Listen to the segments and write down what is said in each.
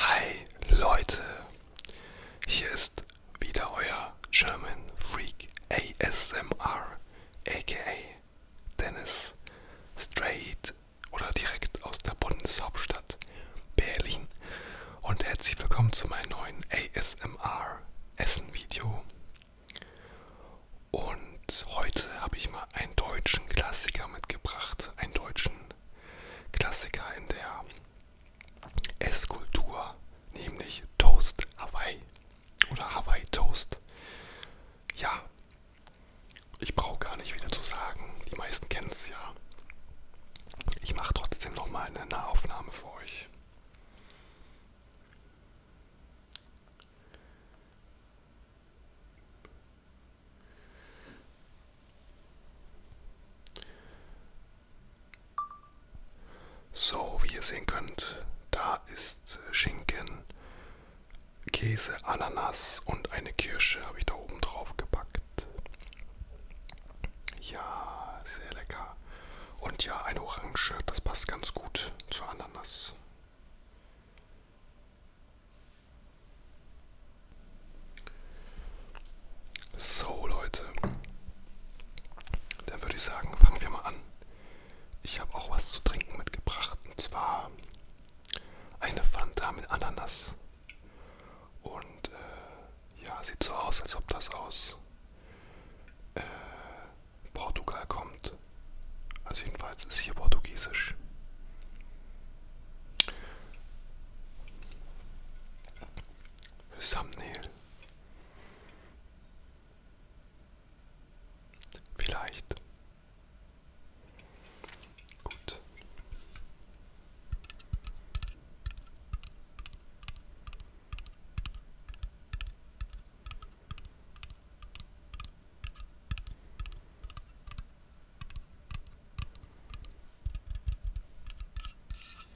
Hi Leute, hier ist wieder euer German Freak ASMR, aka Dennis, straight oder direkt aus der Bundeshauptstadt Berlin. Und herzlich willkommen zu meinem neuen ASMR Essen Video. Und heute habe ich mal einen deutschen Klassiker mitgebracht, einen deutschen Klassiker in der Esskultur, nämlich Toast Hawaii oder Hawaii Toast. Ja, ich brauche gar nicht wieder zu sagen, die meisten kennen es ja. Ich mache trotzdem nochmal eine Nahaufnahme für euch. So, wie ihr sehen könnt, da ist Schinken, Käse, Ananas und eine Kirsche habe ich da oben drauf gepackt. Ja, sehr lecker. Und ja, eine Orange, das passt ganz gut zur Ananas. So Leute, dann würde ich sagen, fangen wir mal an. Ich habe auch was zu trinken mitgebracht und zwar eine Fanta mit Ananas. Und äh, ja, sieht so aus, als ob das aus äh, Portugal kommt. Also jedenfalls ist hier Portugiesisch. Thumbnail. Vielleicht. Gut.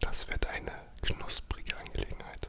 Das wird eine knusprige Angelegenheit.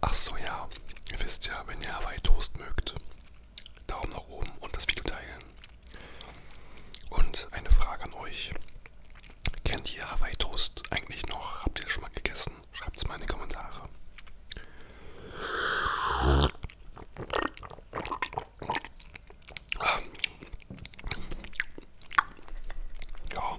Ach so, ja. Ihr wisst ja, wenn ihr Hawaii Toast mögt, Daumen nach oben und das Video teilen. Und eine Frage an euch. Kennt ihr Hawaii Toast eigentlich noch? Habt ihr schon mal gegessen? Schreibt es mal in die Kommentare. Ja.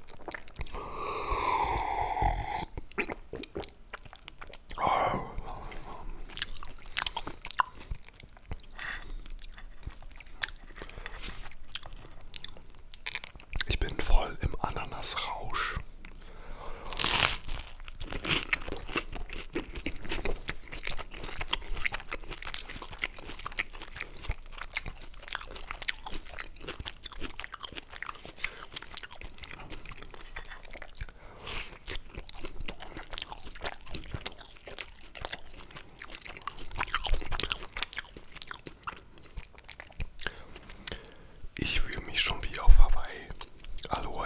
Ich bin voll im Ananasrausch. Ich fühle mich schon wie auf Hawaii. Aloha.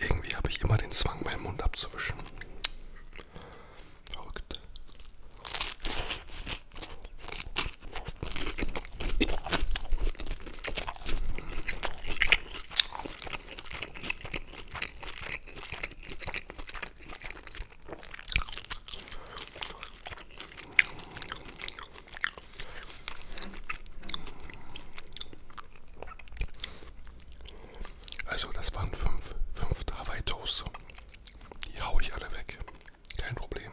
Irgendwie habe ich immer den Zwang, meinen Mund abzuwischen. Verrückt. Also das waren fünf, fünf Hawaii Toast. Die hau ich alle weg. Kein Problem.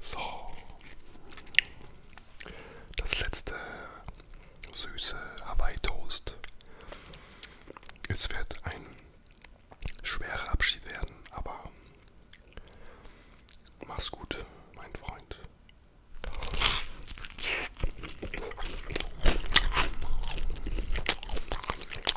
So. Das letzte süße Hawaii Toast. Es wird ein schwerer Abschied werden, aber mach's gut, mein Freund.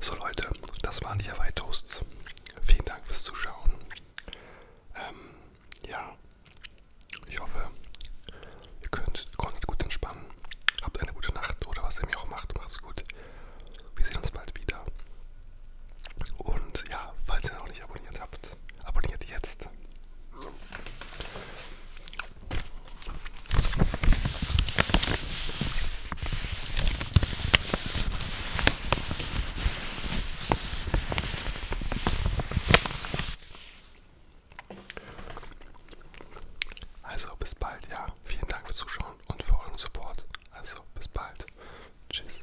So Leute, das waren die Hawaii Toasts. Vielen Dank fürs Zuschauen. Ähm, ja, ich hoffe, ihr könnt, konntet gut entspannen. Habt eine gute Nacht oder was ihr mir auch macht. Macht's gut. Wir sehen uns bald wieder. Und ja, falls ihr noch nicht abonniert habt, abonniert jetzt. Also bis bald, ja. Vielen Dank fürs Zuschauen und für euren Support. Also bis bald. Tschüss.